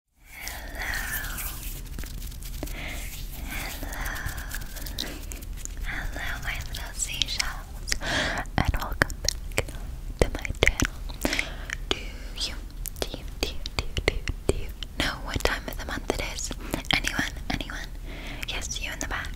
Hello, hello, hello, my little seashells, and welcome back to my channel. you, do you, do you, do you, do you, do you know what time of the month it is? Anyone, anyone? Yes, you in the back.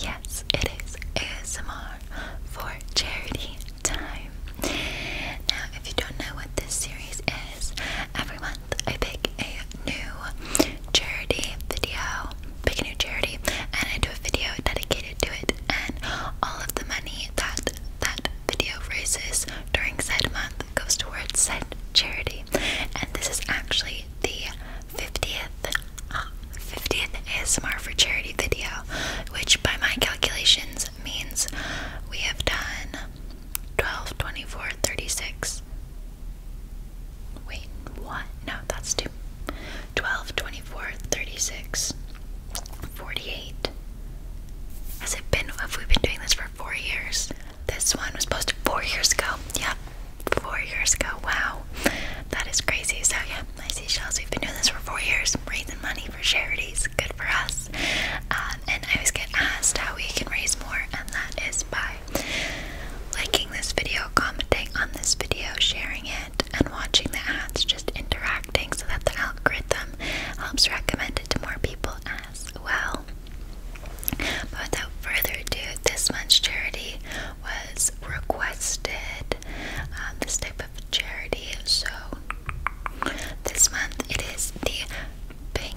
Yes, it is ASMR for charity time. Now, if you don't know what this series is, every month I pick a new charity video, pick a new charity, and I do a video dedicated to it, and all of the money that that video raises during said month goes to towards said charity. And this is actually the 50th, 50th ASMR for Charity video, which by my calculations this means we have done 12, 24, 36. Wait, what? No, that's two. 12, 48. Has it been, have we been doing this for four years? This one was posted four years ago. Yeah, four years ago. Wow. That is crazy. So, yeah, I see shells. we've been doing this for four years, raising money for charities. Good for us. Um, and I was get asked how we can raise more, and that is by liking this video, commenting on this video, sharing it, and watching the ads, just interacting so that the algorithm helps recommend it to more people as well. But without further ado, this month's charity was requested. Um, this type of charity. So this month it is the pan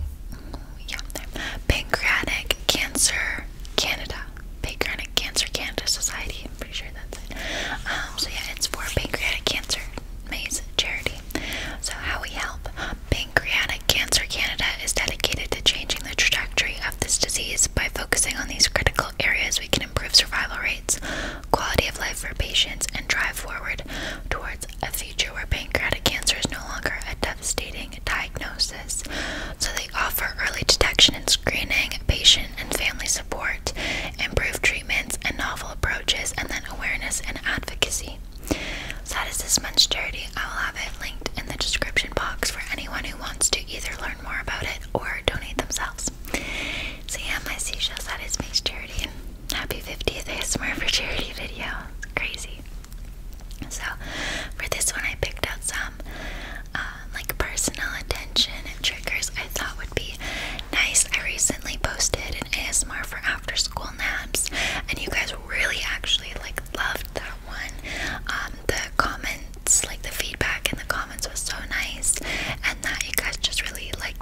Pancreatic Cancer Canada. Pancreatic Cancer Canada Society. I'm pretty sure that's it. Um, so yeah, it's for pancreatic cancer maze charity. So how we help Pancreatic Cancer Canada is dedicated to changing the trajectory of this disease by focusing on these critical areas we can improve survival rates quality of life for patients, and drive forward towards a future where pancreatic cancer is no longer a devastating diagnosis. So, they offer early detection and screening, patient and family support, improved treatments, and novel approaches, and then awareness and advocacy. So, that is this month's charity. I will have it linked in the description box for anyone who wants to either learn more about it or donate themselves. So, yeah, my seashells, that is Mace Charity happy 50th ASMR for charity video. crazy. So for this one I picked out some um, like personal attention triggers I thought would be nice. I recently posted an ASMR for after school naps and you guys really actually like loved that one. Um, the comments, like the feedback in the comments was so nice and that you guys just really like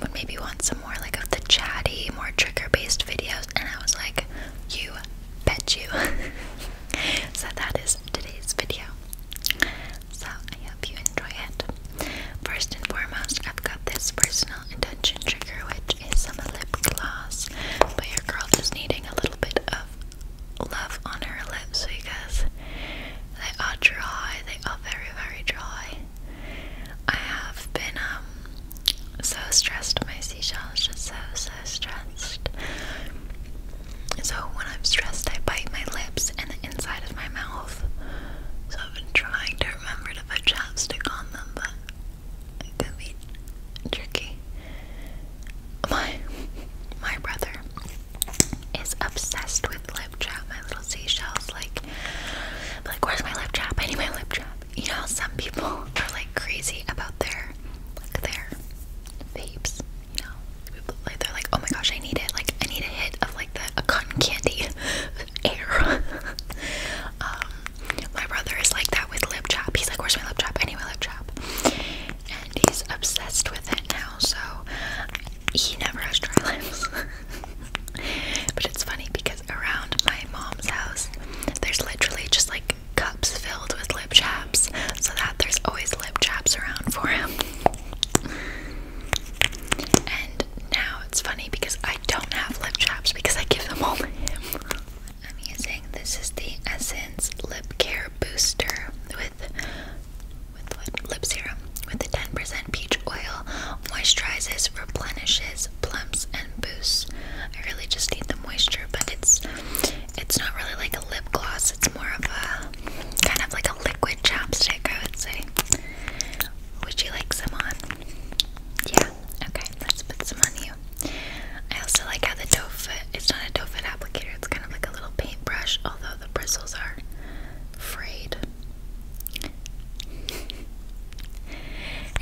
would maybe want some more like of the chatty, more trigger based videos, and I was like, you bet you. so that is today's video. So I hope you enjoy it. First and foremost, I've got this personal attention trigger, which is some lip gloss, but your girl is needing a little bit of love on her lips because they are dry, they are very, very dry. I have been um, so stressed. My seashells just so so stressed. So when I'm stressed, I bite my lips and the inside of my mouth. So I've been trying to remember to put chapstick on them, but it could be tricky. My my brother is obsessed with lip lip trap, my little seashells. Like, like, where's my lip trap? I need my lip trap. You know, some people are like crazy about their, like their vapes. You know, people, like they're like, oh my gosh, I need it. Like, I need a hit of like the a cotton candy air. um, my brother is like that with lip trap. He's like, where's my lip trap? I need my lip trap. And he's obsessed with it now, so he never has dry lips. but it's funny because around my mom's house, there's literally just like cups filled with lip chaps, so that there's always lip chaps around for him. and now it's funny because I don't have lip chaps because I give them all to him. i this is the Essence Lip Care Booster with with Lip serum with the 10% peach oil, moisturizes, replenishes, plumps, and boosts. I really just need the moisture, but it's it's not really like a lip gloss. It's more of a kind of like a liquid chapstick, I would say. Would you like some on? Yeah. Okay, let's put some on you. I also like how the doe foot, it's not a doe foot applicator, it's kind of like a little paintbrush, although the bristles are frayed.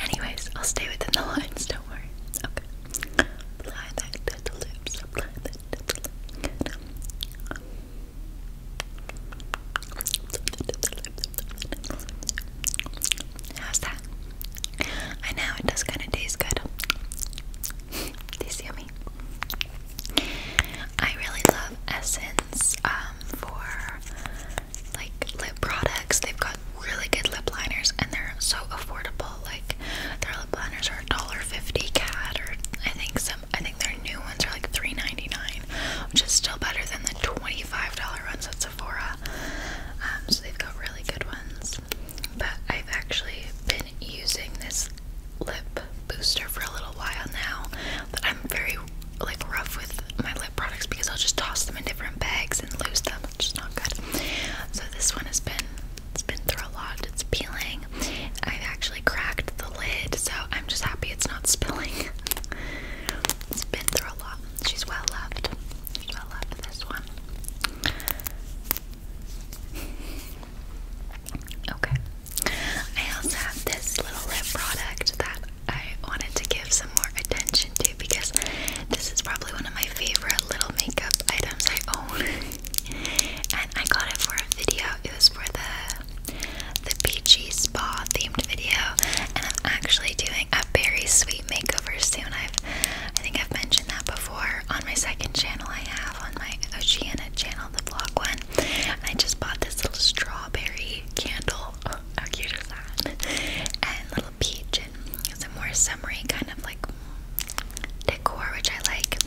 Anyways, I'll stay within the lines, don't worry. Apply that Apply that How's that? I know it does kind of taste good. Tastes yummy. I really love Essence um, for like lip products. They've got really good lip liners and they're so affordable. Like their lip liners are $1.50 cat or I think some I think their new ones are like $3.99, which is still better than the $25 ones at Sephora. Um, so they've got really good ones. But I've actually been using this lip booster for a little while now. But I'm very like rough with my lip products because I'll just toss them in different bags and lose them, which is not good. So this one has been it's been through a lot. It's peeling. I've actually cracked the lid, so I'm just happy it's not spilling. it's been through a lot. She's well loved. She's well loved this one. Okay. I also have this little lip product that I wanted to give some more attention to because this is probably one of my favorite little makeup items I own. and I got it for a video. It was for the the peachy spa themed video. And I'm actually doing a very sweet makeover soon. I've I think I've mentioned that before on my second channel I have on my Oceana channel, the vlog one. I just bought this little strawberry candle. Oh, how cute is that? And little peach and some more summery kind of like decor, which I like.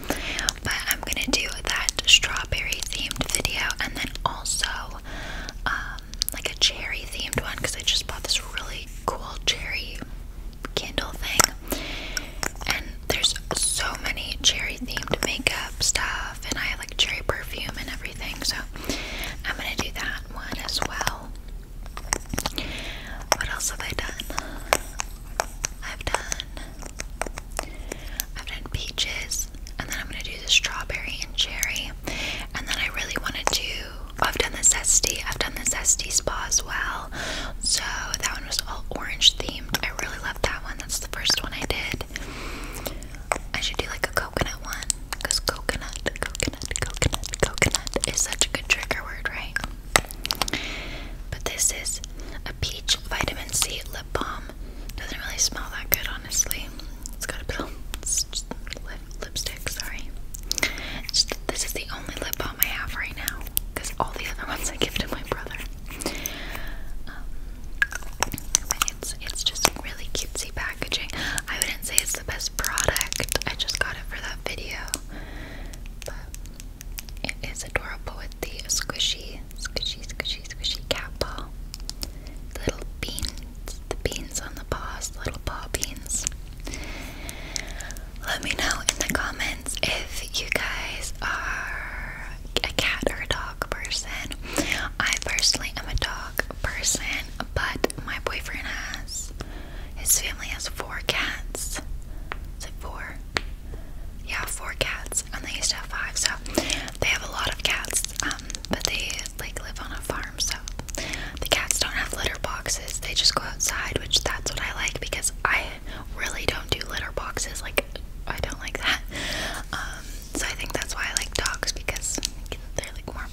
But I'm gonna do that strawberry themed video and then also um, like a cherry themed one because I just bought this really cool cherry candle thing. There's so many cherry themed makeup stuff, and I have like cherry perfume and everything, so I'm gonna do that one as well. What else have I done? I've done I've done peaches and then I'm gonna do the strawberry and cherry. And then I really wanna do I've done the zesty, I've done the zesty spa as well. So that one was all orange themed. I really love that one. That's the first one I did. I should do like a coconut one. Because coconut, coconut, coconut, coconut is such a good trigger word, right? But this is a peach vitamin C lip balm. Doesn't really smell that good, honestly. It's got a bit of lip, lipstick, sorry. this is the only lip balm I have right now. Because all the other ones I give to my brother. Um, it's it's just really cutesy packaging. I wouldn't say it's the best product. I just got it for that video, but it is adorable with the squishy, squishy, squishy, squishy cat ball. little beans, the beans on the paws, little paw beans. Let me know in the comments if you guys are a cat or a dog person. I personally am a dog person, but my boyfriend has his family has four cats. Is it four? Yeah, four cats, and they used to have five. So they have a lot of cats, um, but they like live on a farm, so the cats don't have litter boxes. They just go outside, which that's what I like because I really don't do litter boxes. Like like I don't like that. Um, so I think that's why I like dogs because they're like more.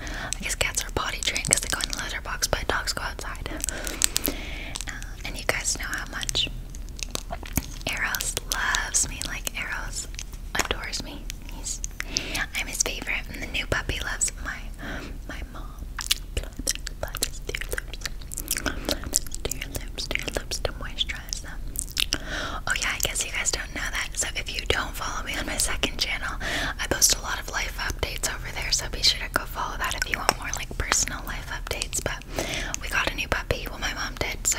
I guess cats are potty trained because they go in the litter box, but dogs go outside. Uh, and you guys know how much Eros loves me. Like Eros adores me. He's I'm his favorite, and the new puppy loves my my mom. Blood, blood is to your lips, to your lips to moisturize them. Oh yeah, I guess you guys don't know that. So if you don't follow me on my second channel, I post a lot of life updates over there. So be sure to go follow that if you want more like personal life updates. But we got a new puppy. Well, my mom did. So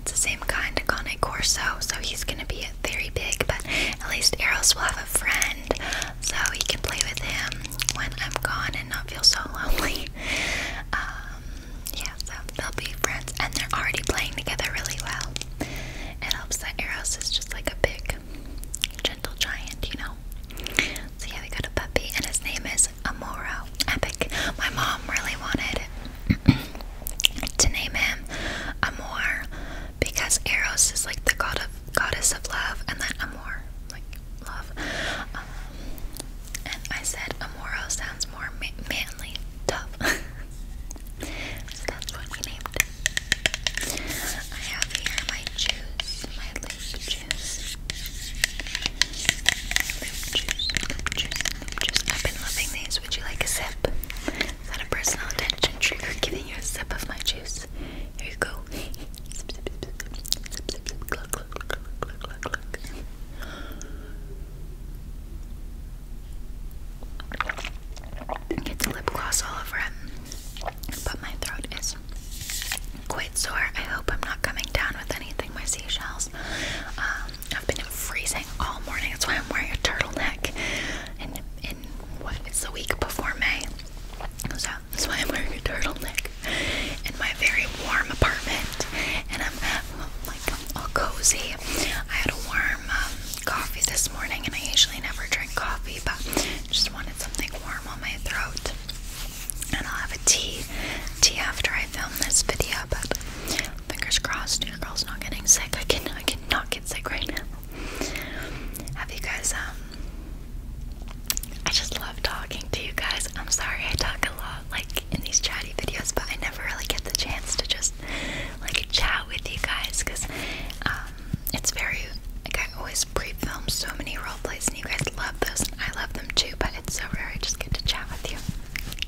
it's the same kind, of Cane Corso. So he's gonna be very big, but at least Eros will have a friend, so he can play with him when I'm gone and not feel so lonely. Um, yeah, so they'll be friends, and they're already playing together really well. It helps that Eros is just like a big, gentle giant, you know. So yeah, we got a puppy, and his name is Amoro. Epic. My mom really wanted to name him Amor because Eros is like the god of goddess of love, and then Amor, like love and I said Amoro sounds more manly, tough. so that's what we named it. I have here my juice, my loop juice. juice, juice, juice. I've been loving these. Would you like a sip? Is that a personal attention trigger giving you a sip of my juice? Here you go. Zip, lip gloss all over him, but my throat is quite sore. I hope I'm not coming down with anything. My seashells. Um, I've been freezing all morning. That's why I'm wearing a turtleneck. And in what? It's the week before May, so that's why I'm wearing a turtleneck in my very warm apartment, and I'm like all cozy. I had a warm um, coffee this morning, and I usually never drink coffee, but just wanted something warm on my throat. And I'll have a tea, tea after I film this video. But fingers crossed, your girl's not getting sick. I can, I cannot get sick right now. Have you guys um, I just love talking to you guys. I'm sorry I talk a lot like in these chatty videos, but I never really get the chance to just like chat with you guys because um, it's very like I always pre-film so many role plays, and you guys love those, and I love them too. But it's so rare I just get to chat with you.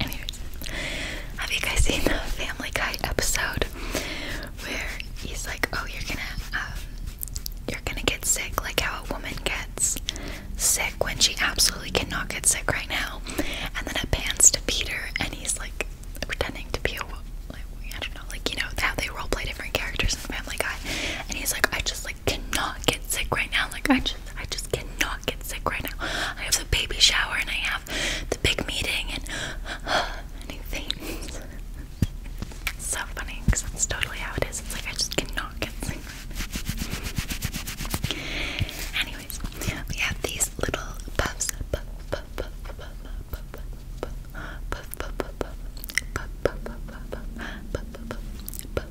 Anyways, have you guys seen the Family Guy episode where he's like, "Oh, you're gonna um, you're gonna get sick like how a woman gets sick when she absolutely cannot get sick right now. And then it pans to Peter, and he's like pretending to be a like I don't know, like you know how they role play different characters in Family Guy, and he's like, I just like cannot get sick right now. Like I just, I just cannot get sick right now. I have the baby shower, and I have the big meeting, and and so funny because that's totally how it is. It's like I just cannot get sick. Anyways, we have these little puffs. Puff, puff, puff, puff, puff, puff, puff, puff, puff, puff, puff, puff, puff, puff,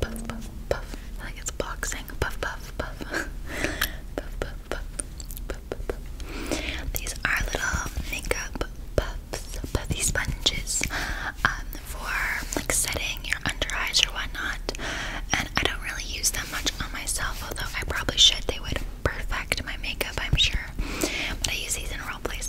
puff, puff, like it's boxing. Puff, puff, puff, puff, puff, puff, puff, puff. These are little makeup puffs, puffy sponges um, for like setting your under eyes or whatnot. And I don't really use them much on myself, although I probably should. They would perfect my makeup, I'm sure. But I use these in role plays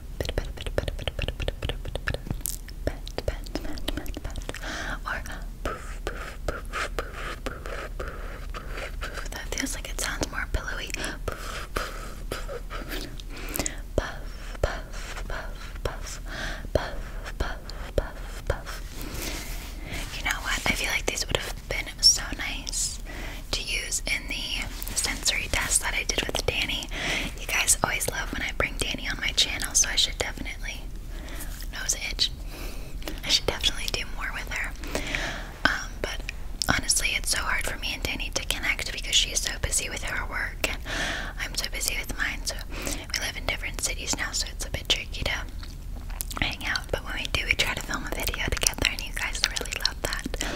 Pet, pet, pet, poof, poof, poof, poof, poof, poof, poof. That feels like it sounds more pillowy. Poof, poof, poof, poof. Puff, puff, puff, puff, puff, puff, puff, puff. You know what? I feel like these would have been so nice to use in the sensory test that I did with Danny. You guys always love when I bring Danny on my channel, so I should definitely nose itch. I should definitely do more with her. Um, but honestly, it's so hard for me and Danny to connect because she's so busy with her work, and I'm so busy with mine. So we live in different cities now, so it's a bit tricky to hang out. But when we do, we try to film a video together, and you guys really love that.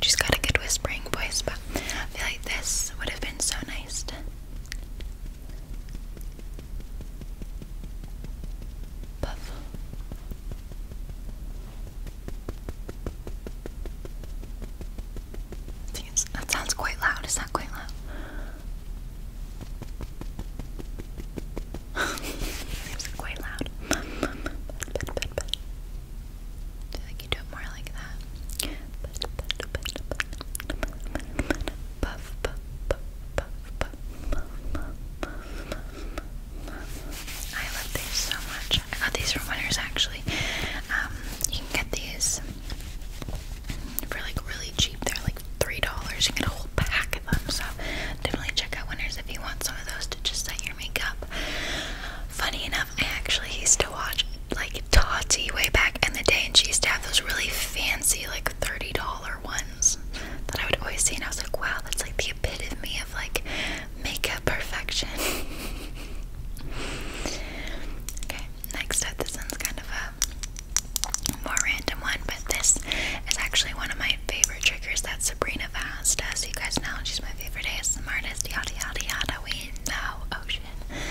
She's got a good whispering voice, but I feel like this would have been so nice that sounds quite loud. Is that quite loud? Seems quite loud. So like you do it more like that. Puff, puff, puff, puff, puff, I love these so much. I got these from Winners actually. Um, you can get these for like really cheap. They're like three dollars. You can get a whole pack of them. So definitely check out Winners if you want some of those to just set your makeup. Funny enough, I actually used to watch like Tati way back in the day, and she used to have those really fancy, like $30 ones that I would always see, and I was like, wow, that's like the epitome of like makeup perfection. okay, next up, this one's kind of a more random one, but this is actually one of my favorite triggers that Sabrina Vaz does. You guys know she's my favorite ASMR artist, yada yada yada. We know, oh, she information.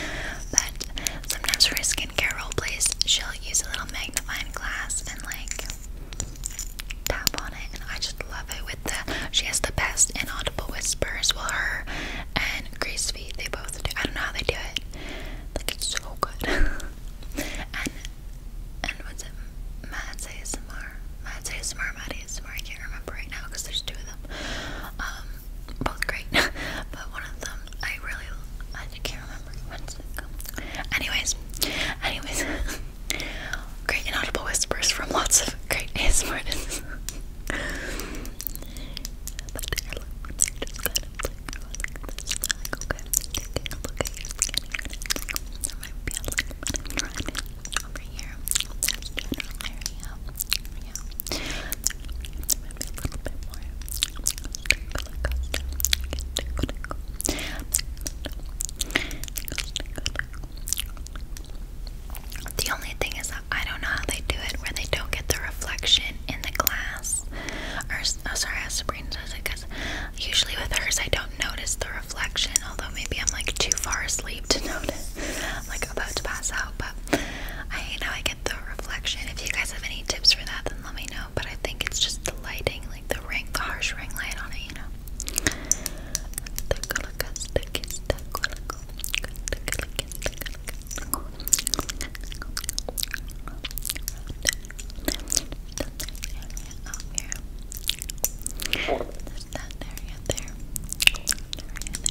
sometimes for skincare role plays, she'll use a little magnifying glass and like tap on it, and I just love it. With the she has the best inaudible whispers. Well, her and Grace they both do. I don't know how they do it. Like it's so good. and and what's it? Mads ASMR. Mads ASMR. Mads ASMR. I can't remember right now because there's two of them. Um, both great, but one of them I really I can't remember Anyways, anyways, great inaudible whispers from lots of great ASMR. but the only thing is that I don't know how they do it where they don't get the reflection in the glass. Or, oh, sorry, as Sabrina does it because usually with hers I don't notice the reflection, although maybe I'm like too far asleep to notice. i like, about to pass out, but I hate I get the reflection. If you guys have any tips for that, then let me know. But I think it's just the lighting, like the ring, the harsh ring light on it, you know.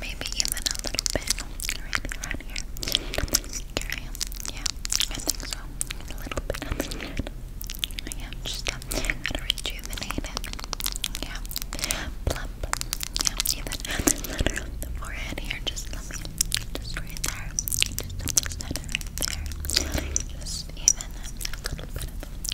maybe even a little bit right around here. Area. Yeah, I think so. A little bit on this side. Yeah, just uh, gotta rejuvenate Yeah, plump. Yeah, even the forehead here. Just let me, just right there. Just on the center right there. Just even a little bit of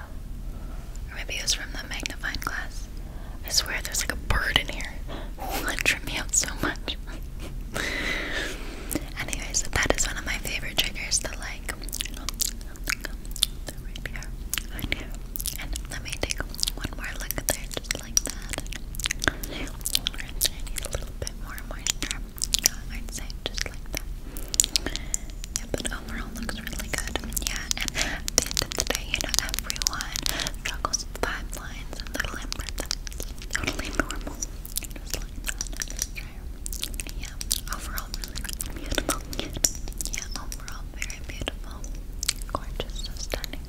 Or maybe it was from the magnifying glass. I swear there's like a bird in here. Oh, it tripped me out so much. Anyways, that is one of my favorite triggers, to like let me take one more look there just like that. a little bit more moisture. I'd say just like that. Yeah, overall looks really good. Yeah, and at the end of the day, you know, everyone struggles five lines and little imprints. Totally normal. Yeah, overall really, beautiful. Yeah, overall very beautiful. Gorgeous, so stunning.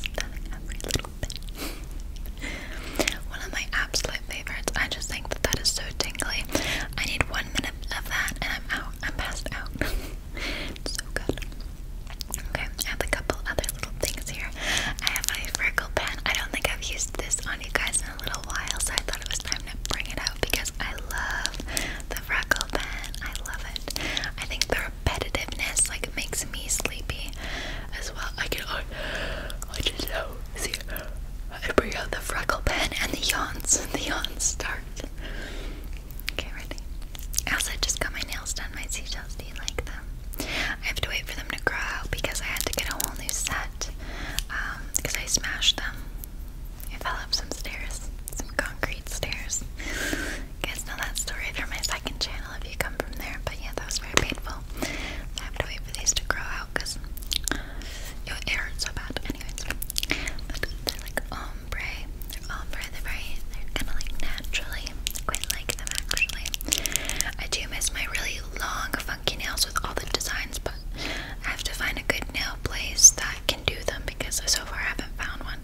stunning every little bit. One of my absolute favorites. I just think that that is so tingly. I need one one minute of that and I'm out. I'm passed out. so good. Okay, I have a couple other little things here. I have my Virgo pen. I don't think I've used this on you guys in a little while, so I thought it was time to bring it out because I love the Virgo pen. I love it. I think the repetitiveness like makes me sleepy as well. I can I, I just know see out the freckle pen, and the yawns. The yawns start. Okay, ready? I just got my nails done. My seashells, do you like them? I have to wait for them to grow because I had to get a whole new set because um, I smashed them. I fell up some stairs, some concrete stairs. guys know that story from my second channel if you come from there, but yeah, that was very painful. I have to wait for these to grow out because it hurts so bad. Anyways, they're like ombre. Um, ombre. Um, they're very, they're kind of like naturally. I quite like them actually. I do miss my really long, funky nails with all the designs, but I have to find a good nail place that can do them because so far I haven't found one.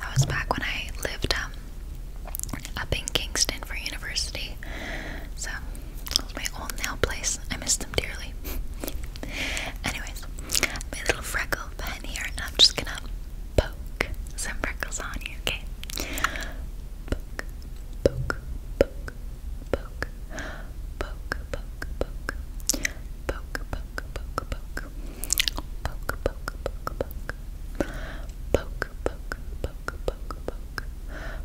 That was back when I lived um, up in Kingston for university. So that was my old nail place. I miss them dearly. Anyways, my little freckle pen here, and I'm just gonna poke some freckles on you, okay? poke, poke, poke, poke, poke, poke, poke, poke, poke, poke, poke, poke, poke, poke, poke, poke, poke, poke, poke,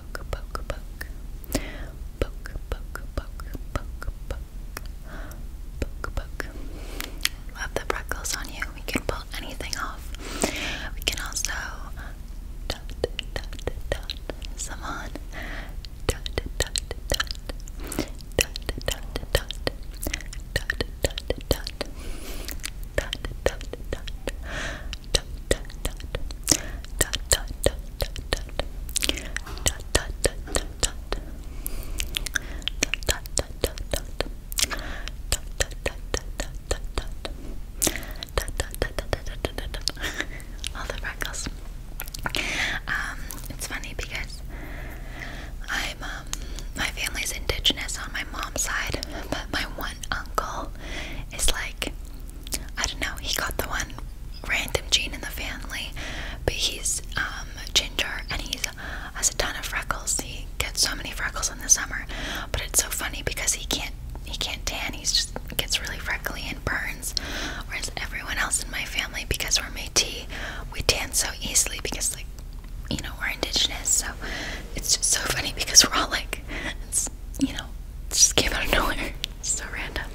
poke, poke, poke. Poke, poke, poke, Love the freckles on you. We can pull anything off. We can also dot, dot, all the freckles. Um, it's funny because I'm um, my family's indigenous on my mom's side, but my one uncle is like I don't know, he got the one random gene in the family, but he's um, ginger and he has a ton of freckles. He gets so many freckles in the summer, but it's so funny because he can't he can't tan. He just gets really freckly and burns. Whereas everyone else in my family, because we're Métis, we tan so easily because like you know we're indigenous. So it's just so funny because we're all like it's you know just came out of nowhere so random.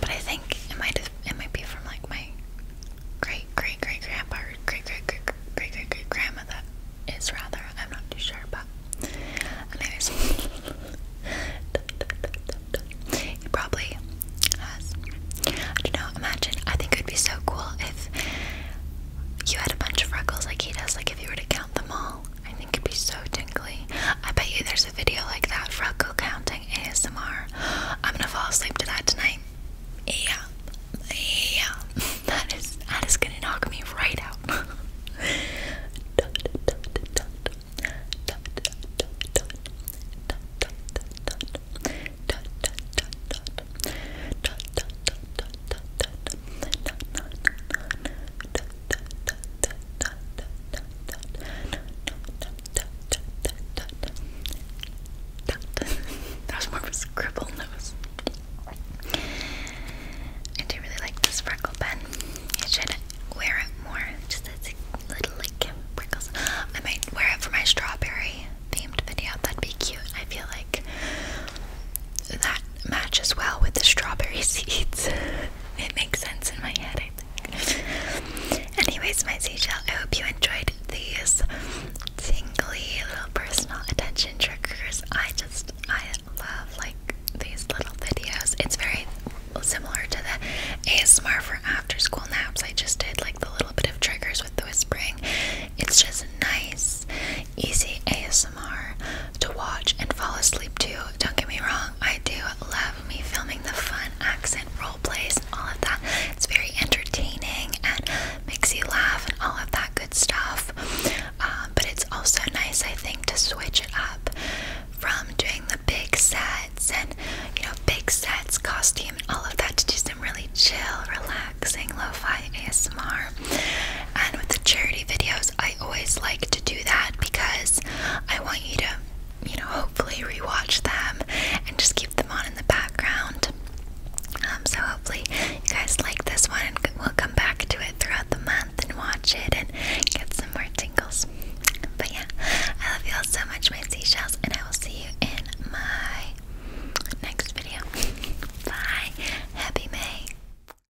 But I think it might it might be from like my great great great grandpa or great great great great great great grandma that is rather. I'm not too sure, but anyways, he probably has. I don't know. Imagine. I think it would be so cool if you had a bunch of freckles like he does. Like if you were to count them all, I think it can be so tingly. I bet you there's a video like that for uncle counting ASMR. I'm gonna fall asleep to that tonight. Yeah, yeah. That is that is gonna knock me right out. that was more of a scribble nose. I do really like this freckle pen. I should wear it more. Just a little like freckles. I might wear it for my strawberry themed video. That'd be cute. I feel like that matches well with the strawberry seeds. it makes sense in my head, Anyways, my seashell, I hope you enjoyed these tingly little personal attention triggers. I just, I love like these little videos. It's very similar to the ASMR for after school naps. I just did like the little bit of triggers with the whispering. It's just nice, easy ASMR to watch and fall asleep to. Don't get me wrong, I do love me filming the fun accent role plays and all of that. It's very entertaining and makes you laugh and all of that good stuff. Um, but it's also nice, I think, to switch it up from doing the big sets and you know big sets, costume, and all of that to do some really chill, relaxing lo-fi ASMR. And with the charity videos, I always like to do that because I want you to, you know, hopefully rewatch them and just keep them on in the background. Um, so hopefully you guys like this one and we'll come back to it throughout the month and watch it and get some more tingles. But yeah, I love you all so much, my seashells, and I will see you in my next video. Bye. Happy May.